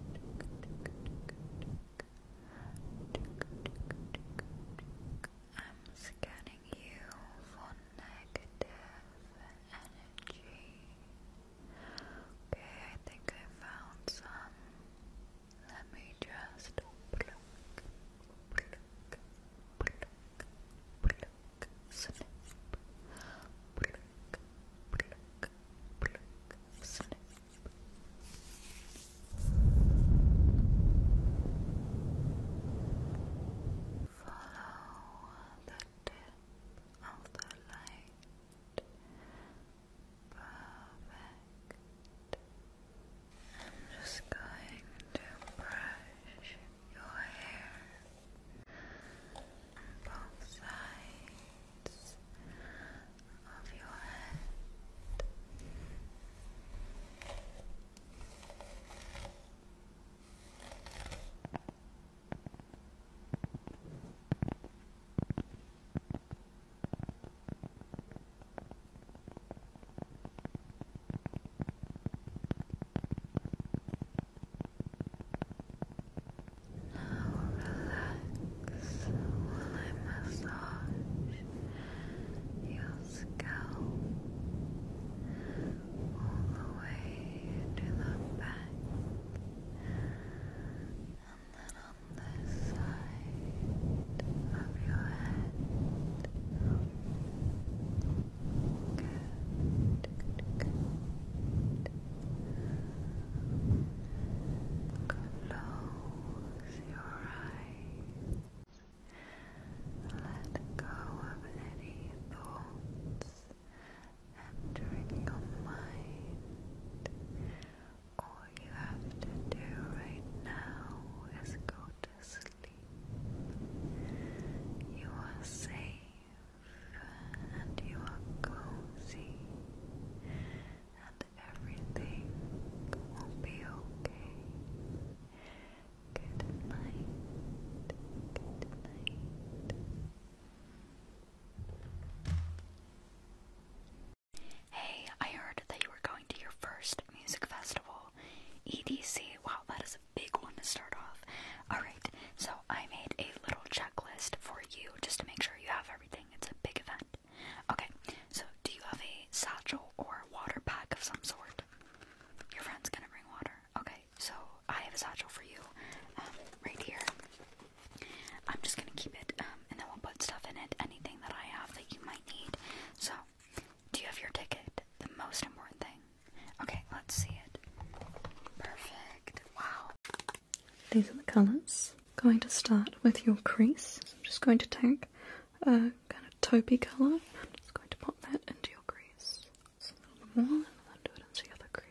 I'm scanning you for negative energy. Okay, I think I found some. Let me just Snip. Follow the tip of the light. Perfect. I'm just going to brush your hair both sides of your head. Now relax while I massage your scalp all the way to the back and then on this side of your head. Good, good, good. Close your eyes. Let go of any thoughts entering your mind. All you have to do right now is go to sleep. You are safe and you are cozy and everything will be okay. Good night. Good night. Hey, I heard that you were going to your first music festival. EDC, wow, that is a big one to start off. Alright, so I made a little checklist for you just to make sure you have everything. It's a big event. Okay, so do you have a satchel or a water pack of some sort? Your friend's gonna bring water. Okay, so I have a satchel for you um, right here. I'm just gonna keep it um, and then we'll put stuff in it, anything that I have that you might need. So, do you have your ticket? The most important thing. Okay, let's see it. Perfect. Wow. These are the colors. Going to start with your crease. I'm just going to take a kind of taupey color. I'm just going to pop that into your crease. a little more, and then do it into the other crease.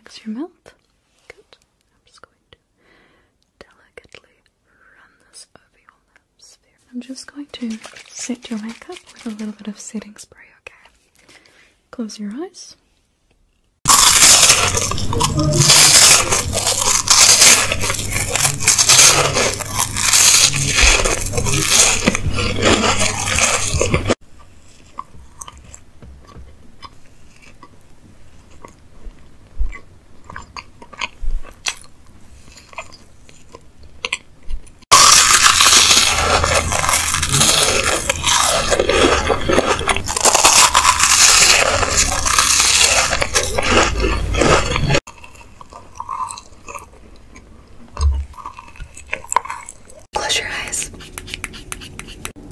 Relax your mouth. Good. I'm just going to delicately I'm just going to set your makeup with a little bit of setting spray, okay? Close your eyes. Close your eyes.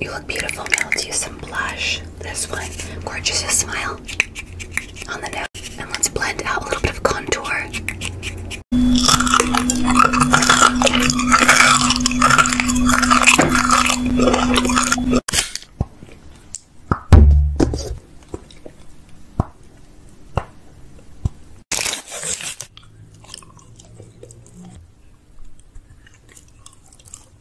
You look beautiful now. Let's use some blush. This one. Gorgeous. smile on the and let's blend out a little bit of contour.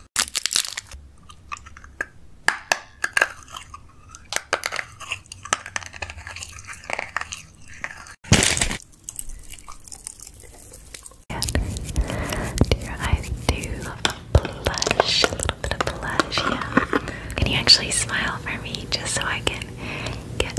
Do your eyes do blush? A little bit of blush, yeah. Can you actually smile for me just so I can get.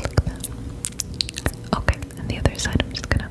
that. Okay, and the other side, I'm just gonna.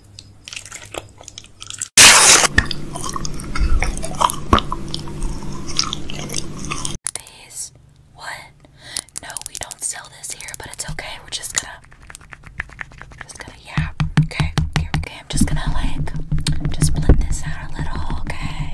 What? No, we don't sell this here, but it's okay. We're just gonna, just gonna, yeah. Okay, okay, I'm just gonna like, just blend this out a little. Okay,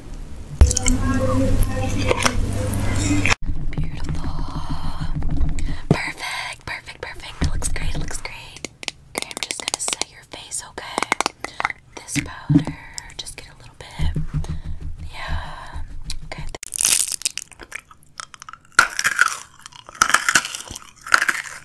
Beautiful. Perfect, perfect, perfect. It looks great, it looks great. Okay, I'm just gonna set your face, okay? This powder, just get a little bit. Yeah. Okay.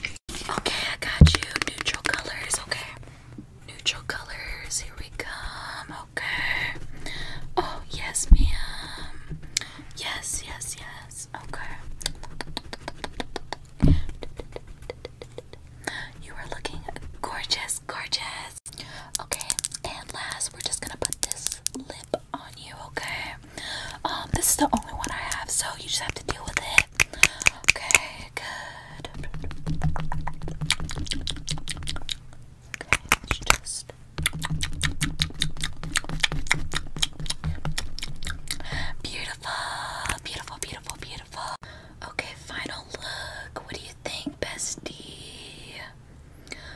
Okay, I got you. Neutral colors, okay. Neutral colors, here we come, okay. Oh, yes, ma'am. Yes, yes, yes, okay. You are looking gorgeous, gorgeous. Okay, and last, we're just gonna put this lip on you, okay? Um, this is the only one I have, so you just have to deal with it. Okay, good. Okay, let just beautiful, beautiful, beautiful, beautiful. Okay, final look. What do you think, bestie?